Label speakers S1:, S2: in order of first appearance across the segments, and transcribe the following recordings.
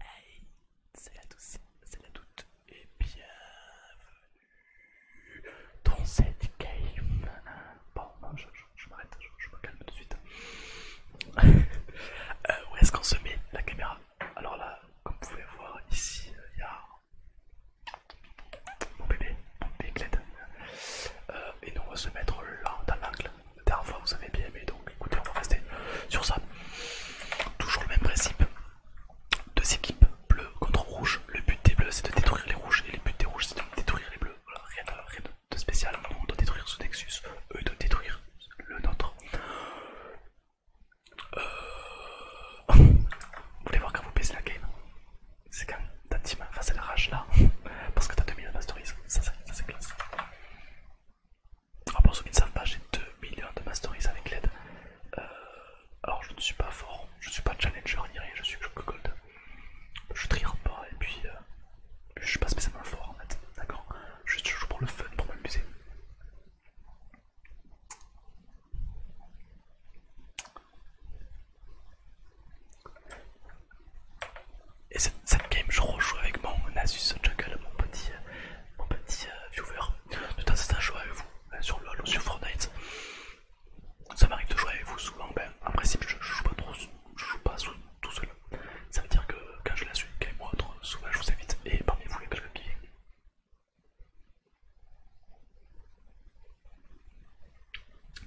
S1: Hey, c'est la douce, c'est la doute et bienvenue dans cette game. Bon, non, je, m'arrête, je, me calme tout de suite. Euh, où est-ce qu'on se met la caméra alors là, comme vous pouvez voir ici, euh, il y a mon bébé, bébé Euh, et nous on va se mettre là dans l'angle. La dernière fois vous savez bien aimé, donc écoutez, on va rester sur ça. Toujours le même principe. Deux équipes, bleu contre rouge. Le but des bleus c'est de détruire les rouges et le but des rouges c'est de détruire les bleus. rien de, de spécial. on doit détruire ce Nexus, eux ils doivent détruire le nôtre vous euh, voulez voir quand vous baissez la game C'est quand ta team face à la rage là, parce que t'as 2 millions de masteries, ça, c'est classe. pour ceux qui ne savent pas, j'ai 2 millions de masteries avec l'aide. Euh, alors je ne suis pas fort, je ne suis pas challenger ni rien, je suis que gold. Je triompe pas et puis euh, je ne suis pas spécialement fort en fait, d'accord Juste je joue pour le fun, pour m'amuser. Et cette, game, je rejoue avec mon Asus Jungle, mon petit, euh, mon petit euh, viewer. De temps en temps, je joue avec vous euh, sur LoL ou sur Fortnite. Ça m'arrive de jouer avec vous souvent. Ben, en principe, je, ne joue pas trop, je joue pas tout seul. Ça veut dire que quand je la suis, game ou autre, souvent je vous invite. Et parmi vous, il y a quelqu'un qui,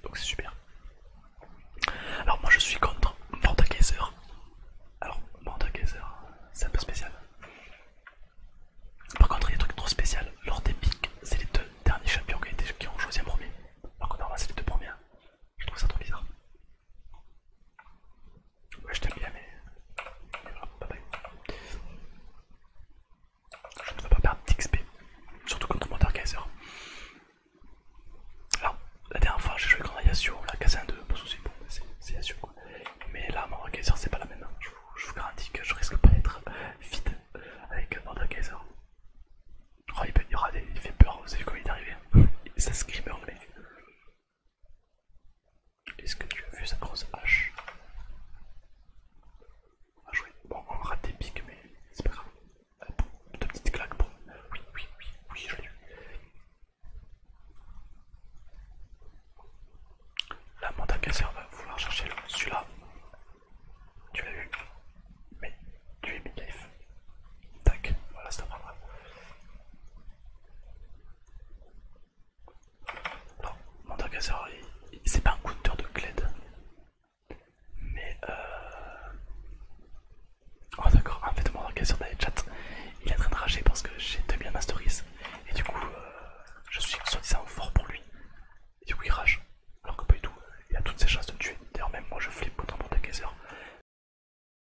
S1: donc c'est super. Alors moi je suis contre Mordekaiser. Alors Mordekaiser, c'est un peu spécial. Par contre il y a des trucs trop spéciaux. des Epic, c'est les deux derniers champions qui, qui ont choisi un premier. Alors que a c'est les deux premiers. Je trouve ça trop bizarre. Ouais, je t'aime bien, mais Je ne veux pas perdre d'XP, surtout contre mon Alors, la dernière fois j'ai joué contre Yasuo, l'a cassé 2, pas de soucis, c'est Yasuo quoi. Mais là, mon c'est pas la même, hein. je vous, garantis que je risque pas d'être fit avec mon Oh, il, fait peur, vous savez comment il est arrivé. C'est un screamer le mec. Est-ce que tu as vu sa grosse hache ah, jouer. Bon, on rate des piques, mais c'est pas grave. Euh, Deux petites claques pour. Oui, oui, oui, oui, je l'ai eu. La on va vouloir chercher celui-là. Tu l'as vu, Mais tu es midlife. Tac, voilà, c'est un grave. Non, il c'est pas un counter de Gled. Mais euh... Oh d'accord, en fait Mandargazer dans les chats, il est en train de rager parce que j'ai 2000 un Et du coup, euh, je suis soi-disant fort pour lui. Et du coup il rage. Alors que pas du tout, il a toutes ses chances de tuer. D'ailleurs même moi je flippe autant Mandargazer.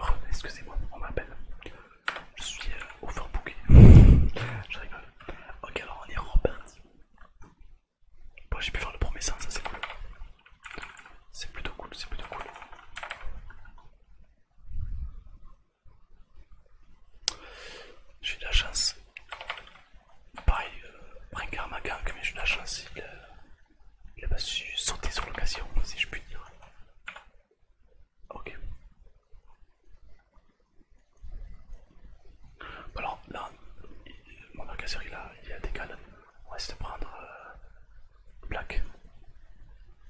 S1: Oh, excusez-moi, on m'appelle. Je suis euh, Fort overbooké. je rigole. Ok, alors on est reparti. Bon, j'ai pu faire le premier sens, ça c'est cool. C'est plutôt cool, c'est plutôt cool. J'ai de la chance. Pareil, euh, Brinkard mais j'ai eu de la chance. Il, euh, il a pas su sauter sur l'occasion, si je puis dire. Ok. alors là, mon casseur il a, il a des On va essayer de prendre euh, Black.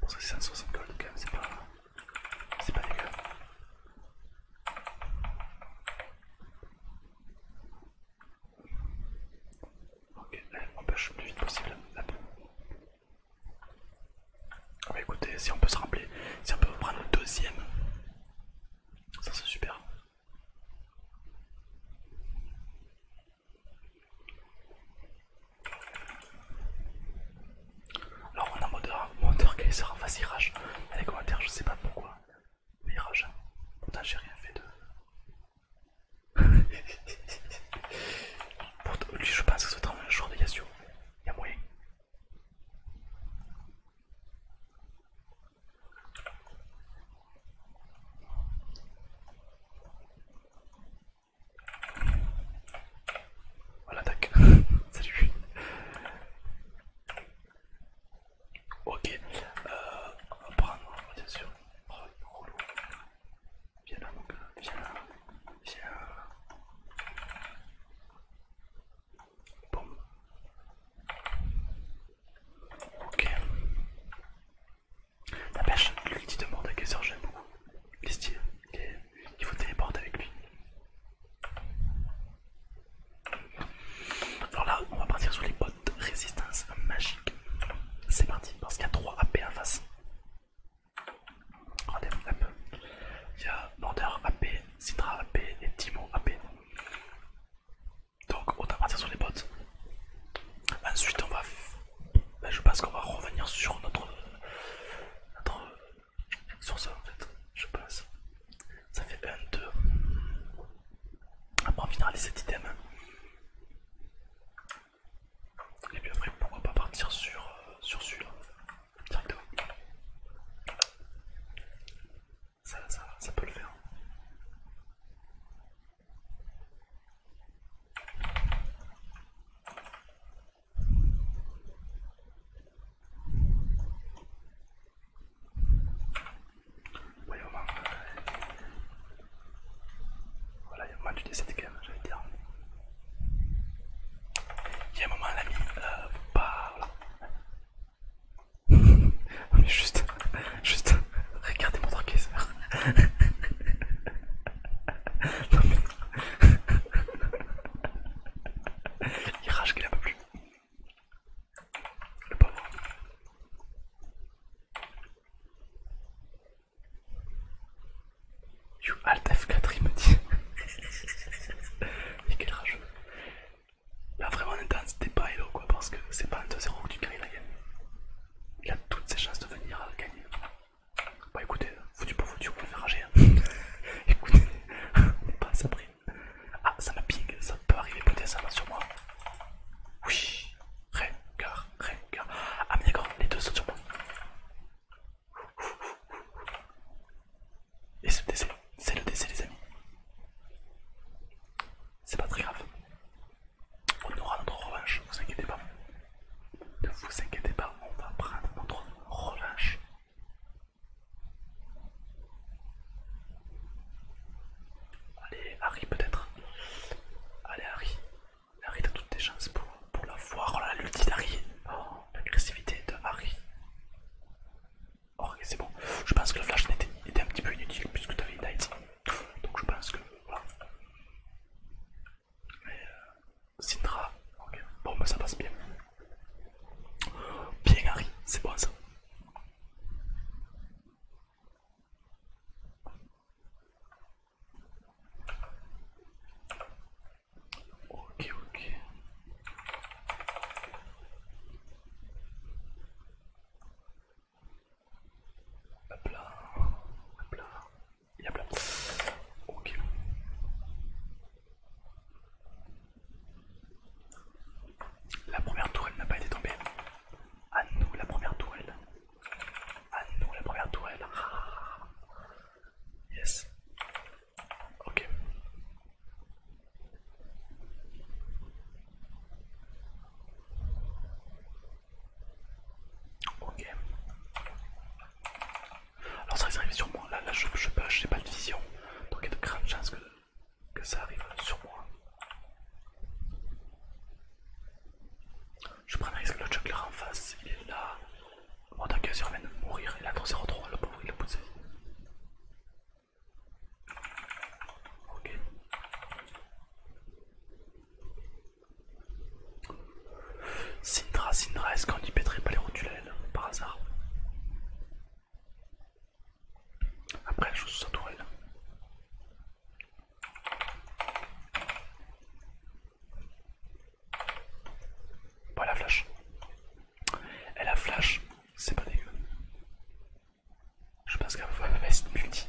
S1: Pour que c'est 160 gold quand même, c'est pas, c'est pas dégueu. Ok, on push le plus vite possible ah bah écoutez, si on peut se rappeler, si on peut prendre le deuxième, ça c'est super. Alors on a moteur, moteur face, il rage, les commentaires je sais pas pourquoi, mais rage, pourtant j'ai rien fait de... Pour lui, je pense que c'est sera un jour de Yasuo. Il y a moyen. Voilà, tac. Salut. Ok, euh, on va prendre, bien sûr. Oh, Viens là, mon gars, viens là, viens là. Bon. Ok. La pêche, dit de Mordekaiser, j'aime beaucoup. Les styles, les... il faut téléporter avec lui. Alors là, on va partir sur les potes résistance magique. C'est parti, parce qu'il y a 3 AP en face regardez un peu. Il y a Border AP, Citra AP et Timo AP. Donc on va partir sur les bots. Ensuite on va... Ben, je pense qu'on va revenir sur notre... notre... Sur ça en fait, je pense. Ça fait bien 2. Après on finira les items. Et puis après, pourquoi pas partir sur, euh, sur celui-là directement. Ça, ça, ça peut le faire. Oui, on va, voilà, il y a un moment, tu décèdes quand même, j'allais dire. Il y a un moment, l'ami, euh, bah non, mais juste, juste, regardez mon trapézeur. non, mais. il rage qu'il a pas plus. Le pauvre. You Alt F4 il me dit. Mais quel rageux. Là vraiment intense, débat pas hello quoi parce que c'est pas un 2-0 que tu gagnes la game. Il a toutes ses chances de venir à euh, gagner. Bah écoutez, euh, foutu pour foutu, on va le faire rager. Hein. écoutez, on est pas à sa Ah, ça m'a ping, ça peut arriver Écoutez, ça va sur moi. Oui, car... Rien que... Ah, mais d'accord, les deux sont sur moi. Et c'est le décès, c'est le décès, les amis. C'est pas très grave. On aura notre revanche, ne vous inquiétez pas. Ne vous inquiétez pas, on va prendre notre revanche. Allez, Harry, peut-être. Allez, Harry. Harry a toutes les chances pour, la voir. Oh là, Oh, L'agressivité de Harry. ok, c'est bon. Je pense que le flash était, était un petit peu inutile puisque tu avais Donc je pense que. Voilà. Mais. Euh, ok. Bon, bah ça passe bien. Bien, Harry. C'est bon ça. Ok, ok. Hop là, hop là, Ok. La première tourelle n'a pas été tombée. À nous la première tourelle. Ah nous la première tourelle. Yes. Ok. Ok. Alors ça risque d'arriver sur moi. Là, je, je, je n'ai pas de vision. Donc il y a de grandes chances que, que ça arrive sur moi. Je prends un risque, le Chuck en face, il est là. En tant que revient de mourir, il a 3 0 le pauvre, il a poussé. Ok. Sindra, Sindra, est-ce qu'on y pèterait pas les rotules par hasard Après, elle joue sous sa tourelle elle la flash. Elle a flash, c'est pas dégueu. Je pense qu'elle va mettre multi.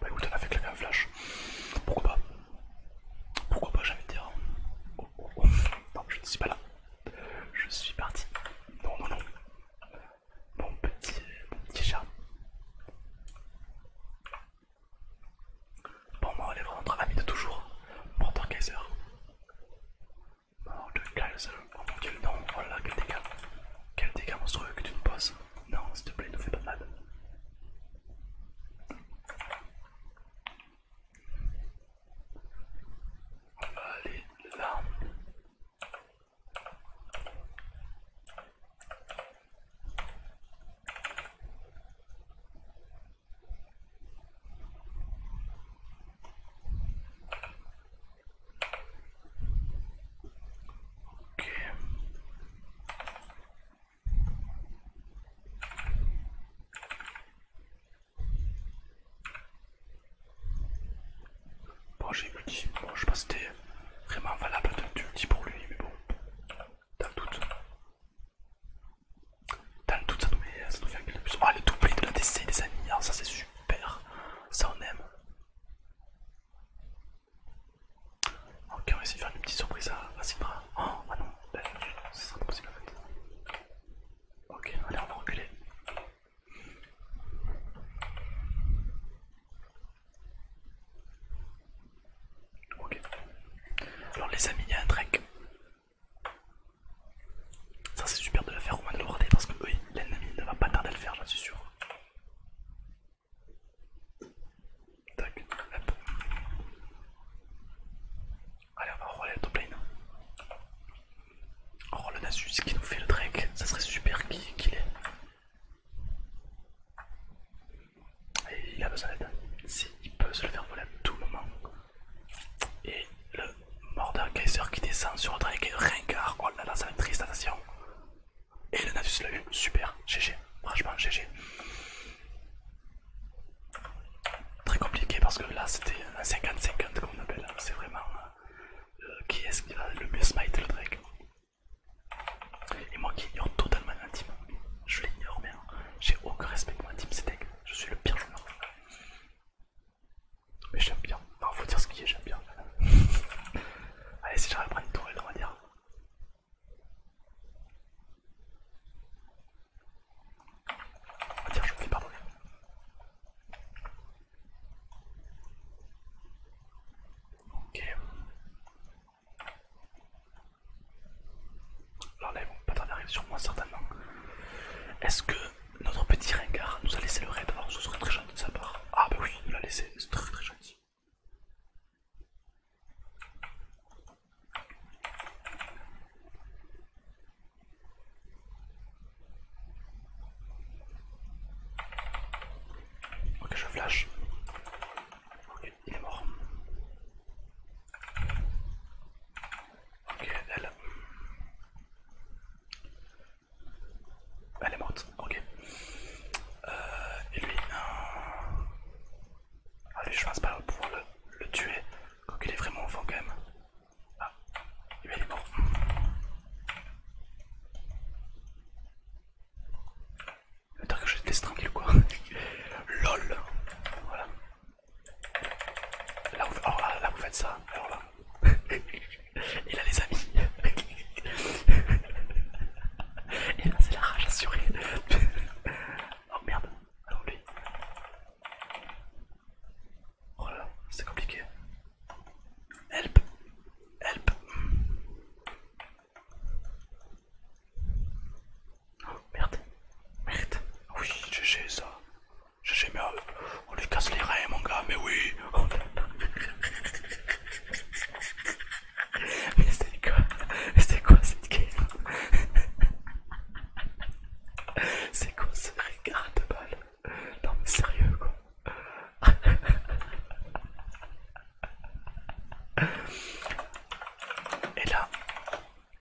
S1: Bah écoute, elle a fait claquer un flash. Pourquoi pas Pourquoi pas, j'ai envie de dire. Oh, oh, oh. Non, je ne suis pas là. Je suis parti. Non, non, non. Mon petit, mon petit chat. Bon, moi, on est vraiment notre ami de toujours. Mordor Kaiser. Mordor Kaiser. Oh mon dieu, non, oh là, quel dégât. Quel dégât monstrueux que tu me poses. Non, s'il te plaît, ne fais pas mal. Elle est là. Ok. Bon, j'ai multi. Bon, je sais pas si c'était vraiment valable du multi pour lui, mais bon. Dans le doute. Dans le doute, ça nous, ça nous fait un plus. Oh, le double de la DC, des amis. Ah, ça, c'est super. Ça, on aime. Ok, on va essayer de faire une petite surprise à, à Oh, ah non, ça ben, sera pas possible en fait. Ok, allez, on va reculer. Ok. Alors les amis, il y a un trek. Ça c'est super de la faire au moins de le parce que oui, l'ennemi ne va pas tarder à le faire, j'en suis sûr. Tac, hop. Allez, on va rouler le top lane. Oh le Nasus qui nous fait le Drake, ça serait super qu'il est. Et il a besoin d'aide. Si il peut se le faire voler à tout moment. Et le morder Kaiser qui descend sur le Drake, ringard, oh là là ça va être triste, attention. Et le Nasus l'a eu, super, GG, franchement GG. Très compliqué parce que là c'était un 50-50 comme on appelle, c'est vraiment euh, euh, qui est-ce qui va le mieux smite le drake. Et moi qui ignore totalement ma team, je l'ignore bien, j'ai aucun respect pour ma team, c'est deck, je suis le pire Mais j'aime bien, non faut dire ce qui est, j'aime bien. Allez si j'arrive à prendre une tourelle on va dire. On va dire je me fais pardonner. Ok. Alors là, ils vont pas tarder à arriver sur moi, certainement. Est-ce que notre petit ringard nous a laissé le raid avant ce serait très gentil de sa part. Ah, bah oui, il nous l'a laissé, c'est très très gentil. Ok, je flash. Ok, il est mort. Ok, elle. Elle est morte, ok. Euh, et lui. Ah, lui, je pense pas pouvoir le, le tuer. il est vraiment au fond quand même. Ah, il est mort. Attends que je te laisse tranquille quoi. LOL. Voilà. Là où oh, là, là, vous faites ça. Alors là. Et là les amis. Et là c'est la rage assurée. oh merde. Alors lui. Oh là, c'est compliqué. Help Help oh, merde Merde ah Oui, GG ça GG mais euh, on lui casse les reins mon gars, mais oui oh Mais c'est quoi c'est quoi cette game C'est quoi ce regard de balle non mais sérieux quoi Et là,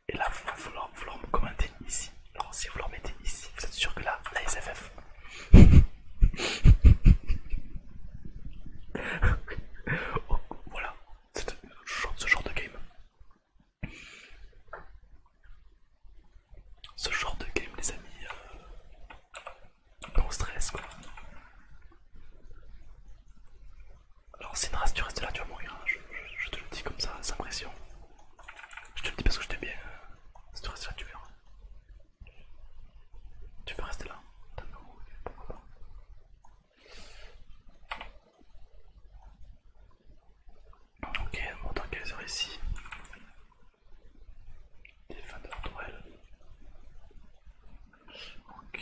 S1: et là vous, leur, me commenter ici. Alors si vous leur mettez ici, vous êtes sûr que là, la SFF. voilà, c'est ce genre de game. Ce genre de game, les amis, euh, on stress quoi. Alors, si tu restes là, tu vas mourir. Hein. Je, te le dis comme ça, sans pression. Je te le dis parce que je t'aime bien. Euh, si tu restes là, tu verras. Tu peux rester là. Hein. Pourquoi pas. Ok, un monte un ici. Des de toile. Ok.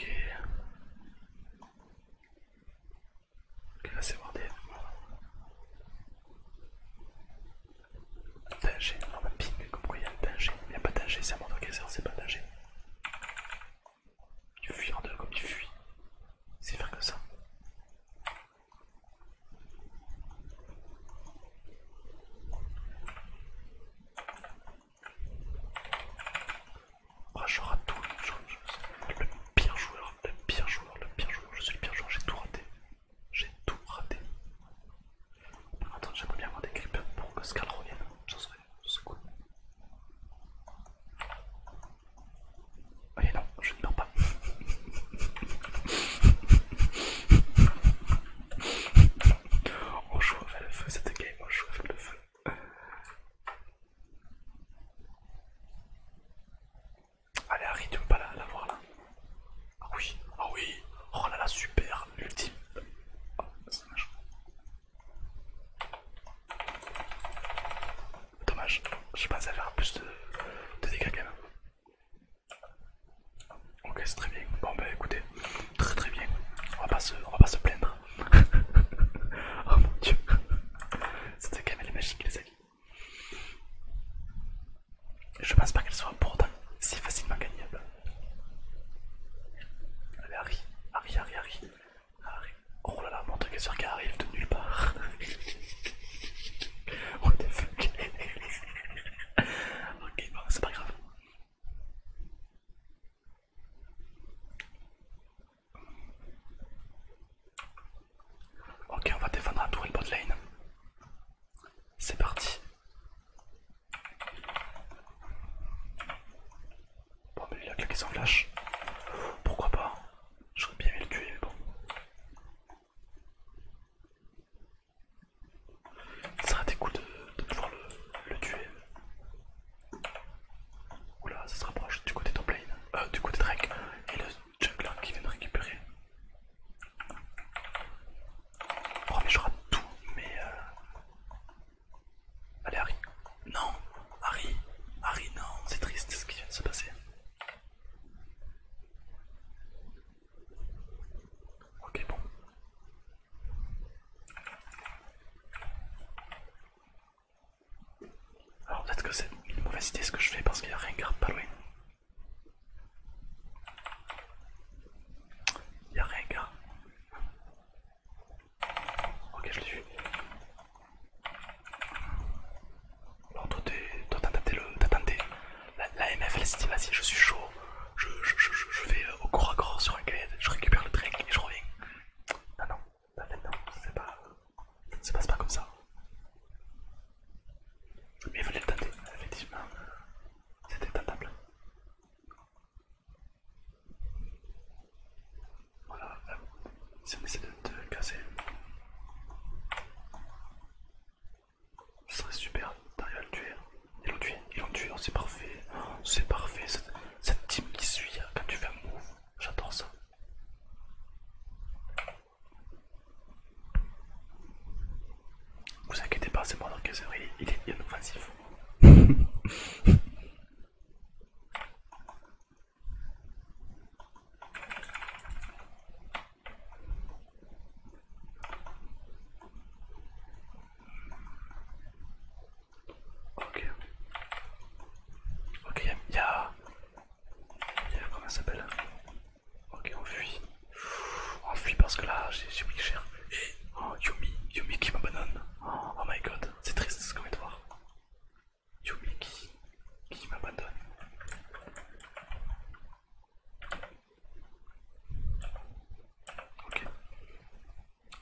S1: Ok, là c'est bordé. Danger, non, va ping, pourquoi il y a danger Il n'y a pas danger, c'est un monte caser, c'est pas danger. tu fuis en deux comme tu fuis, C'est faire que ça. Ah, je rate tout. le pire joueur, le pire joueur, le pire joueur. Je suis le pire joueur, j'ai tout raté. J'ai tout raté. Attends, j'aimerais bien avoir des creepers pour que Scal revienne. Ça serait, je cool. Allez non, je ne meurs pas. on joue avec le feu cette game, on joue avec le feu. Allez Harry, tu veux pas la, voir là Ah oui, ah oui Oh là là, super, ultime ah, dommage. je je pensais faire plus de, de dégâts quand même. Ok c'est très bien, bon bah écoutez, très très bien, on va pas se, plaindre. oh mon dieu, c'était quand même les magique les amis. Je pense pas qu'elle soit pourtant si facilement gagnable. Allez Harry, Harry, Harry, Harry. Oh là là, mon truc est sûr arrive de nulle part. the fuck Ok, bon, c'est pas grave. Ok, on va défendre à tour et le bot lane. C'est parti. Bon, mais il a claqué son flash. Pourquoi pas J'aurais bien aimé le tuer, mais bon. Ça sera des coups de, de pouvoir le, le tuer. Oula, ça se rapproche du côté Toplane, euh, du côté Drake et le jungler qui vient de récupérer. Oh, mais je rate tout, mais. Euh, allez, Harry. Non, Harry, Harry, non, c'est triste ce qui vient de se passer. Ok, bon. Alors peut-être que c'est une mauvaise idée ce que je fais parce qu'il n'y a rien garde pas loin. Il n'y a rien garde. Ok, je l'ai vu. Alors toi t'as tenté, la MF elle s'est dit vas-y je suis chaud, je, je, je, vais euh, au corps à corps sur un quai, je récupère le drink et je reviens. Ah non non, non, non, c'est pas, ça ne se passe pas comme ça. Mais il fallait le tenter, effectivement, c'était tentable. Voilà, c'est euh, on essaie de te casser. Ce serait super t'arrives à le tuer. Hein. Ils l'ont tué, ils l'ont tué, oh, c'est parfait. Oh, c'est parfait, cette, team qui suit hein. quand tu fais un move. J'adore ça. Vous inquiétez pas, c'est moi dans il, il est bien offensif. Ok. Ok, Ya. y Comment ça s'appelle Ok, on fuit. On fuit parce que là, j'ai pris cher. Et... Eh, oh, Yumi, Yumi qui m'abandonne. Oh, my god, c'est triste ce qu'on te voir. Yumi qui, qui m'abandonne. Ok.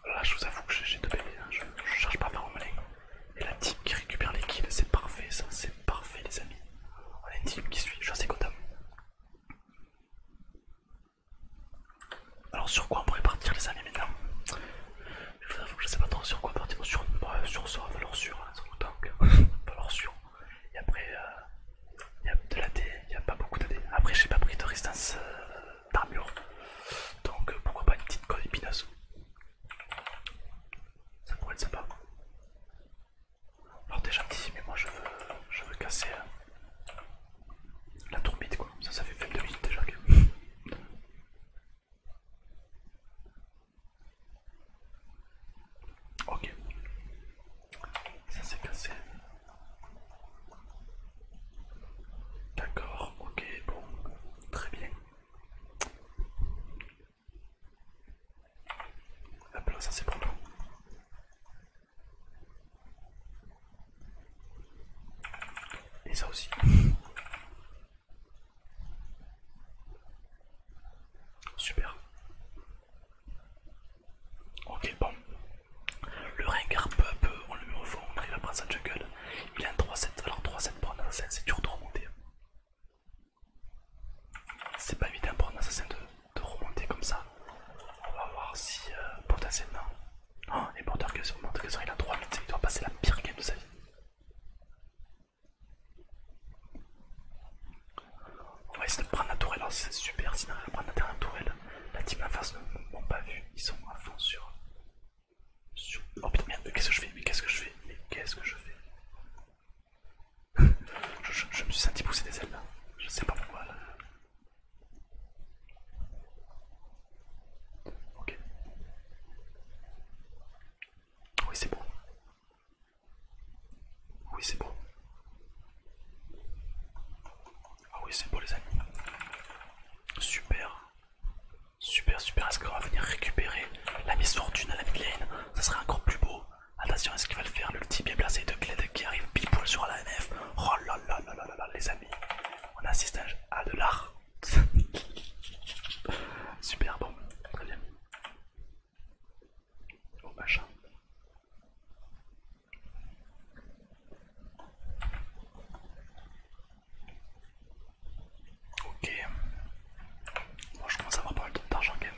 S1: Là, je vous avoue que j'ai deux bébés, hein. je, cherche pas ma melee. Et la team qui récupère les kills, c'est parfait, ça, c'est parfait, les amis. On a une team qui suit, je suis assez content. Alors, sur quoi on pourrait partir, les amis, maintenant Je vous avoue que je sais pas trop sur quoi partir, sur, euh, sur alors sur donc Et après, il y a de l'AD, il n'y a pas beaucoup d'AD. Après, j'ai pas pris de résistance d'armure, donc pourquoi pas une petite code épineuse. Ça pourrait être sympa. Alors, t'es gentil, mais moi je veux, je veux casser la tourbite, quoi. Ça, ça fait 22 minutes déjà. Que... Ok. Ça s'est cassé. D'accord, ok, bon, très bien. Hop là, ça c'est pour nous. Et ça aussi. Super. Ok, bon. Le ringard peu à peu, on le met au fond, on arrive à prendre sa jungle. Il a un 3-7, alors 3-7 pour un assassin, c'est dur de remonter. C'est pas évident pour un assassin de, remonter comme ça. On va voir si euh, potentiellement. Oh, et pour Tarkazor, il a 3 minutes, il doit passer la pire game de sa vie. On va essayer de prendre la tourelle, hein, c'est super, sinon on va prendre la tourelle. La team en face ne m'ont pas vu, ils sont à fond sur... Oh putain merde, mais qu'est-ce que je fais Mais qu'est-ce que je fais Mais qu'est-ce que je fais je, me suis senti pousser des ailes là, je sais pas pourquoi là. Ok. Oui c'est bon. Oui, c'est bon. Ah oui, c'est bon les amis. Super. Super, super. Est-ce qu'on va venir récupérer la Fortune à la midlane Ça serait encore plus beau. Attention, est-ce qu'il va le faire l'ulti bien placé de Kled qui arrive pile sur la NF. Oh là là là là là les amis. On assiste à de l'art. super, bon. Très bien. Oh machin. Ok. Bon, je commence à avoir pas mal d'argent quand même.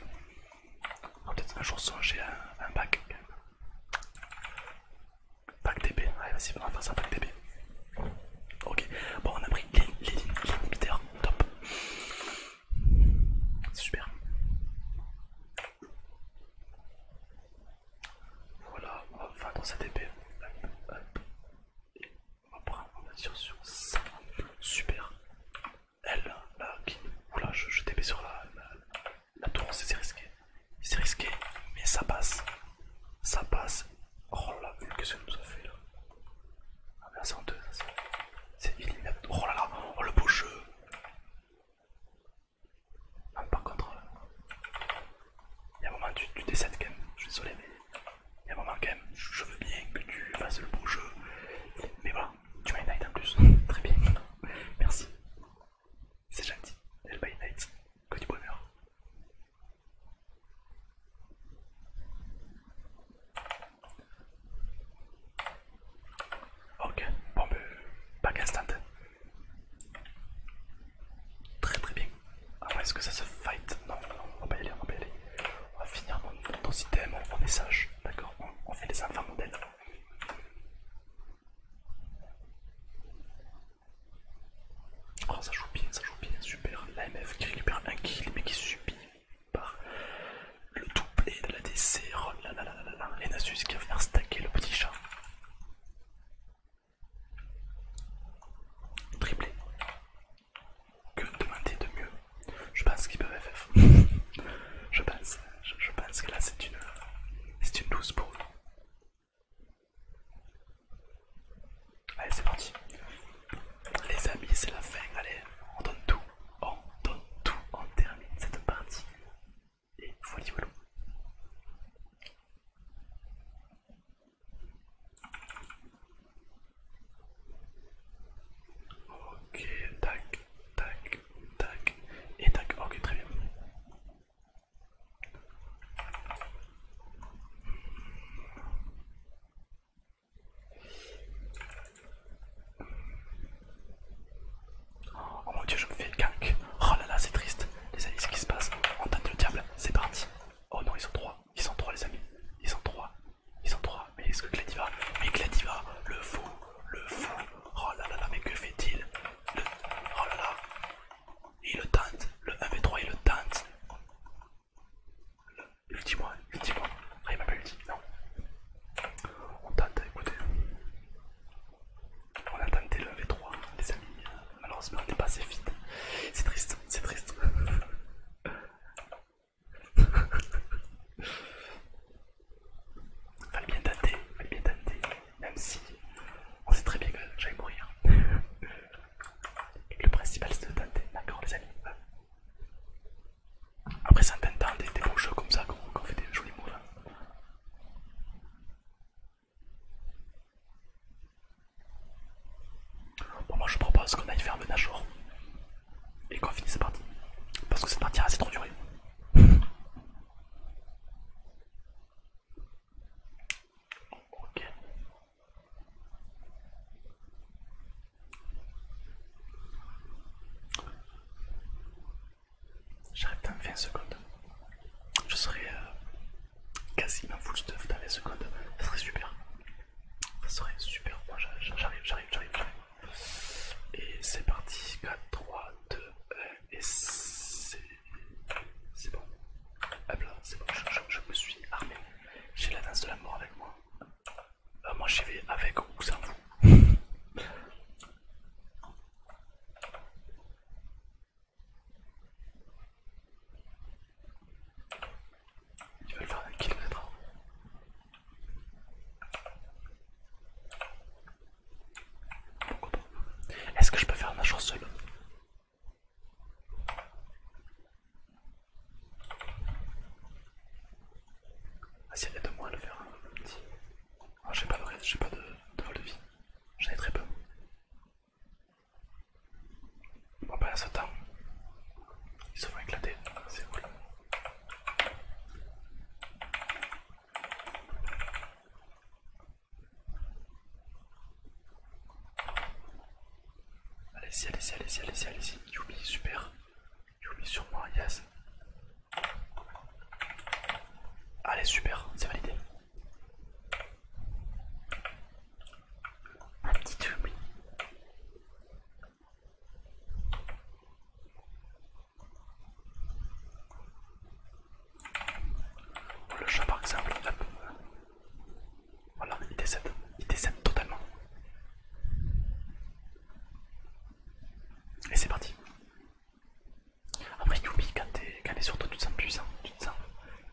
S1: Ah, peut-être un jour vais un, un pack quand même. Pack DB, allez vas-y, on va faire ça, pack DB. Ok, bon on a pris les, les, les top. C'est super. Voilà, on va dans cette épée. Hop, hop. Et on va prendre, on va dire sur ça. Super. Elle, là, qui... Oula, je, je sur la, la, tour, c'est risqué. C'est risqué, mais ça passe. Ça passe. Oh la quest que qu'elle nous a fait là version ah, c'est en c'est Oh là là, oh le beau jeu ah, par contre, euh, il y a un moment tu, décèdes quand même, je suis désolé mais il y a un moment quand même, je, veux bien que tu fasses le beau jeu. Mais voilà, tu m'as night en plus, très bien, merci. C'est gentil, elle by night, que du bonheur. Ok, bon, Pas back instant. Très très bien. Ah est-ce que ça se fight non, non, on va pas y aller, on va pas aller. On va finir nos, items, on, messages, d'accord on, fait les enfants modèles. Oh, ça joue bien, ça joue bien, super. La MF qui récupère un kill mais qui subit par le doublé de la DC. les qui va venir stacker le petit chat. Triplé. Que demander de mieux Je pense qu'ils peuvent FF. je, pense, je, pense que là c'est une, une pour Allez c'est parti. Les amis, c'est la fin. Allez, on donne tout. On donne tout. On termine cette partie. Et voilà, voilà. Ok, tac, tac, tac. Et tac, ok, très bien. Oh mon dieu, je me fais gank. Oh là là, c'est triste. Les amis, ce qui se passe On tente le diable, c'est parti. Oh non, ils sont trois. Ils sont trois, les amis. Ils sont trois. Ils sont trois. Mais est-ce que Glady va Mais Glady va Le fou. Le fou. Oh là là mais que fait-il Oh là là. Il le tente, Le 1v3, il le tente dit moi dit moi Ah, il m'a pas dit. non. On tente, écoutez. On a tenté le V3, les amis. Malheureusement, on n'est pas assez vite. C'est triste, c'est triste. Fallait bien tenter, fallait bien tenter. Même si on sait très bien que j'allais mourir. Le principal c'est de tenter, d'accord les amis. Après ça temps des, des bons jeux comme ça qu'on fait des jolis moves. Hein. Bon moi je propose qu'on aille faire le Nashor et qu'on finisse cette partie. Parce que cette partie a assez trop duré. ok. J'arrive dans 20 secondes. Je serai euh, quasiment full stuff dans 20 secondes. Ça serait super. Ça serait super. Moi j'arrive, j'arrive, j'arrive. Et c'est parti. 4, 3, 2, 1. Et c'est bon. Hop là, c'est bon. je me suis armé. J'ai la danse de la mort avec moi moi j'y vais avec ou sans vous. veux le faire un kilomètre. Est-ce que je peux faire ma chose seul? Ah si elle est de moi à le faire un petit. Ah, j'ai pas de j'ai pas de, vol de vie. J'en ai très peu. Bon bah là ce temps, Ils se font éclater, c'est cool. Allez-y, allez-y, allez-y, allez-y, allez-y. Youpi, super. Yumi sur moi, yes. Allez, super, c'est validé. Un petit Yumi. Oh, le chat par exemple, hop. Voilà, il décède. Il décède totalement. Et c'est parti. Après Yumi, quand t'es sur toi, tu te sens puissant, tu te sens,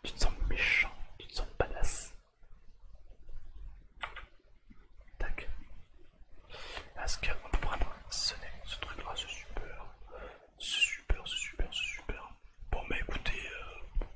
S1: tu te sens méchant, tu te sens badass. Tac. Est-ce qu'on peut prendre ce, ce truc là, C'est super, c'est super, c'est super, c'est super Bon bah écoutez, euh,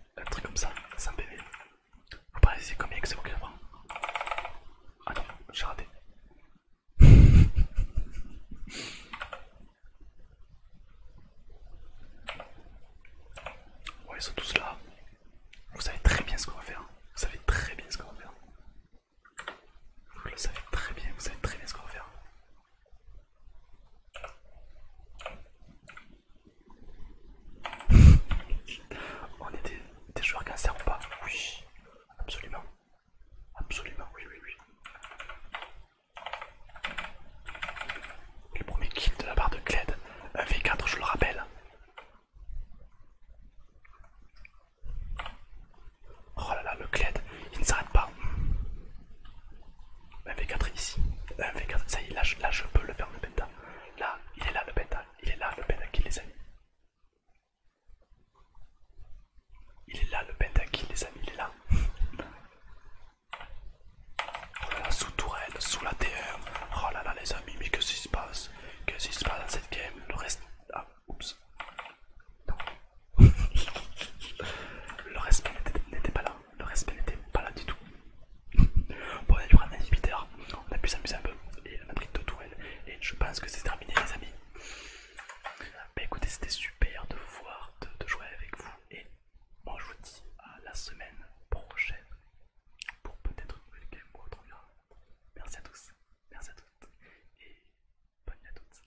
S1: un truc comme ça, sans PV. Vous pensez combien que c'est vous qui prend Ah non, j'ai raté. Ouais, ils tous là. Vous savez très bien ce qu'on va faire. Vous savez très bien ce qu'on va faire. Vous le savez très bien, vous savez très bien ce qu'on va faire. On est des, joueurs cancer ou pas Oui, absolument. Absolument, oui, oui, oui. Le premier kill de la barre de Cled, un V4, je le rappelle. Oh là là, le Cled, il ne s'arrête pas. 1v4 ici, 1v4, ça y est, là, je peux le faire le penta. Là, il est là le penta, il est là le penta qui les amis. Il est là le penta qui les amis, il est là. Oh là là, sous tourelle, sous la T1. Oh là là les amis, mais qu'est-ce se passe Qu'est-ce qui se passe dans cette game Le reste... Ah, oups. Non. le reste n'était pas là le respect n'était pas là du tout. bon, on a dû prendre un inhibiteur, on a pu s'amuser un peu, et on a pris deux tourelles, et je pense que c'est terminé, les amis. Bah écoutez, c'était super de voir, de, jouer avec vous, et moi je vous dis à la semaine prochaine pour peut-être une nouvelle game ou Merci à tous, merci à toutes, et bonne nuit à toutes.